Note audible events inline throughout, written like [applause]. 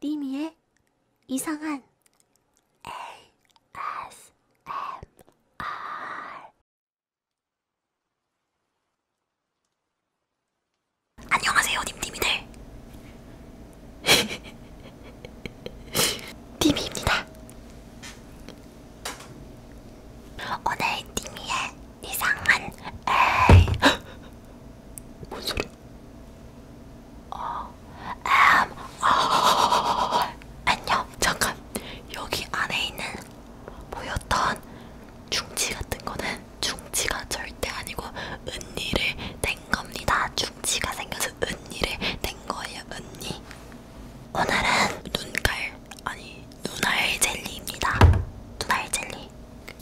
리미의 이상한 ASMR 안녕하세요 님님이들 [laughs] 님이입니다 오늘 니미의 이상한 에이 [gasps] 뭔 소리야? 어, 음, 어, [laughs] 안녕 잠깐 여기 안에 있는 보였던 중치 같은 거는 중치가 절대 아니고 은니를 낸 겁니다. 중치가 생겨서 은니를 낸 거예요. 은니 오늘은 눈깔 아니 눈알 젤리입니다. 눈알 젤리.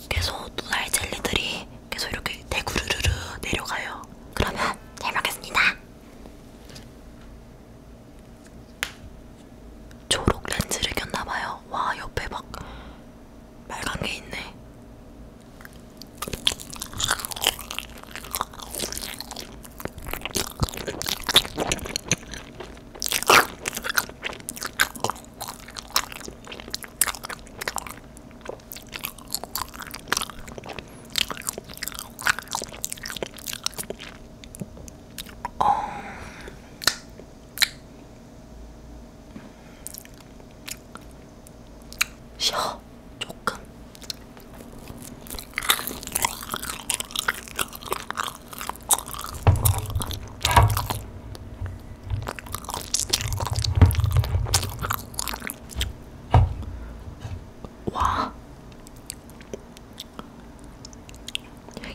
계속 눈알 젤리들이 계속 이렇게 대구르르르 내려가요. 그러면 잘 먹겠습니다. 초록 렌즈를 꼈나봐요. 와 옆에 막 빨간 게 있네. 어... 쉬어 조금 와,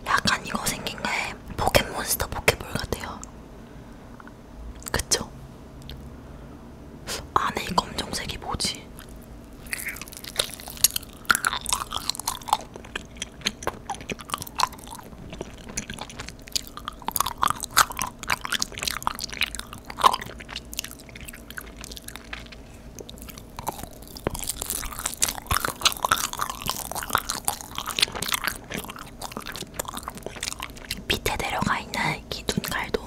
약간 이거 생긴 게 포켓몬스터 포켓볼 같아요. 그쵸? 안에 검정색이 뭐지? 밑에 내려가 있는 이 눈갈도,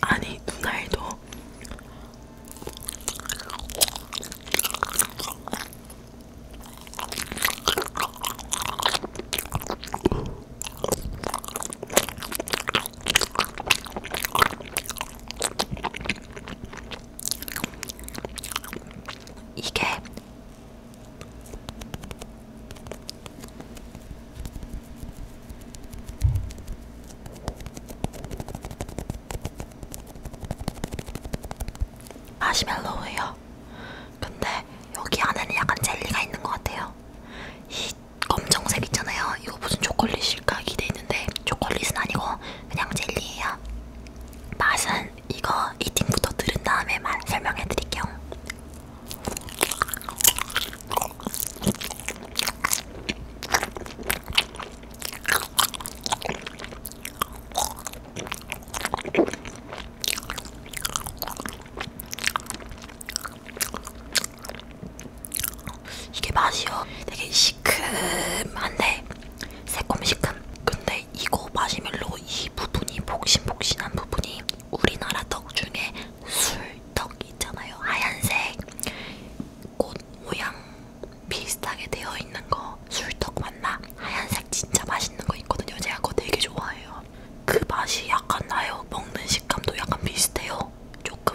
아니 눈알도 이게 마시멜로우예요. 근데 여기 안에는 약간 젤리가 있는 것 같아요. 이 검정색 있잖아요. 이거 무슨 초콜릿일까 기대했는데 초콜릿은 아니고 그냥 젤리예요. 맛은 이거 이팅부터 들은 다음에 말 설명해드릴게요. 이게 맛이요. 되게 시큼한데 새콤시큼. 근데 이거 마시멜로 이 부분이 복신복신한 부분이 우리나라 떡 중에 술턱 있잖아요. 하얀색 꽃 모양 비슷하게 되어 있는 거 술떡 맞나? 하얀색 진짜 맛있는 거 있거든요. 제가 그거 되게 좋아해요. 그 맛이 약간 나요. 먹는 식감도 약간 비슷해요. 조금.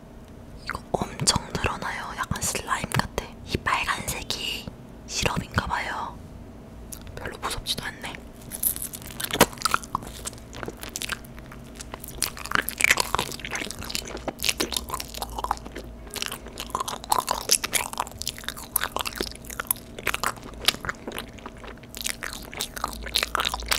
이거 엄청 늘어나요. 약간 슬라임 같아. 이 빨간색이 시럽인가봐요. 별로 무섭지도 않네.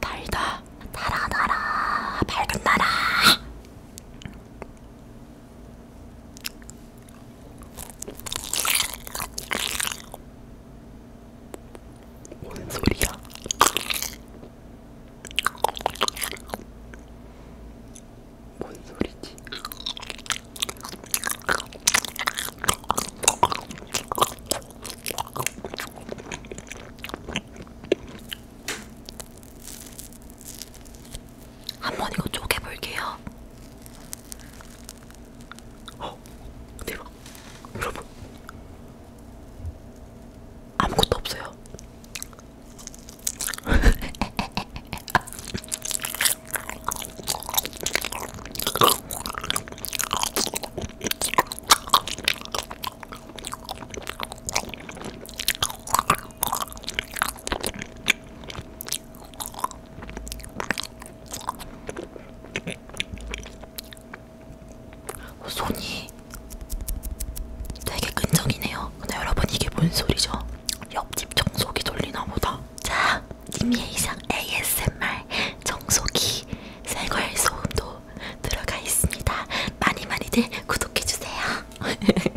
달다 달아 달아 밝은 달아 뭔 소리야? 뭔 소리지? 한번 이거 쪼개 볼게요. 어, 대박. 여러분, 아무것도 없어요. [laughs] 어, 손이 되게 끈적이네요. 근데 여러분 이게 뭔 소리죠? 옆집 청소기 돌리나 보다. 자, 님의 이상 ASMR 청소기 생활 소음도 들어가 있습니다. 많이 많이들 구독해 주세요. [laughs]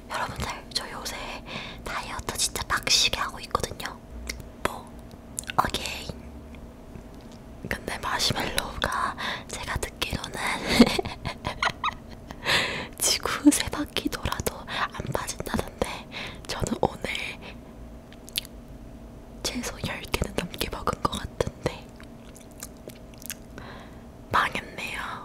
여러분들 저 요새 다이어트 진짜 빡시게 하고 있거든요. 뭐 어게인. 근데 마시멜로우가 제가 듣기로는 [laughs] 지구 세 바퀴 돌아도 안 빠진다던데 저는 오늘 최소 10개는 넘게 먹은 것 같은데 망했네요.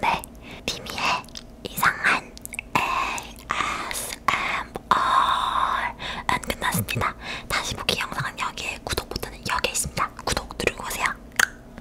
네, 디미의 이상한 ASMR은 끝났습니다. 다시 보기 영상은 여기에 구독 버튼은 여기에 있습니다. 구독 누르고 오세요.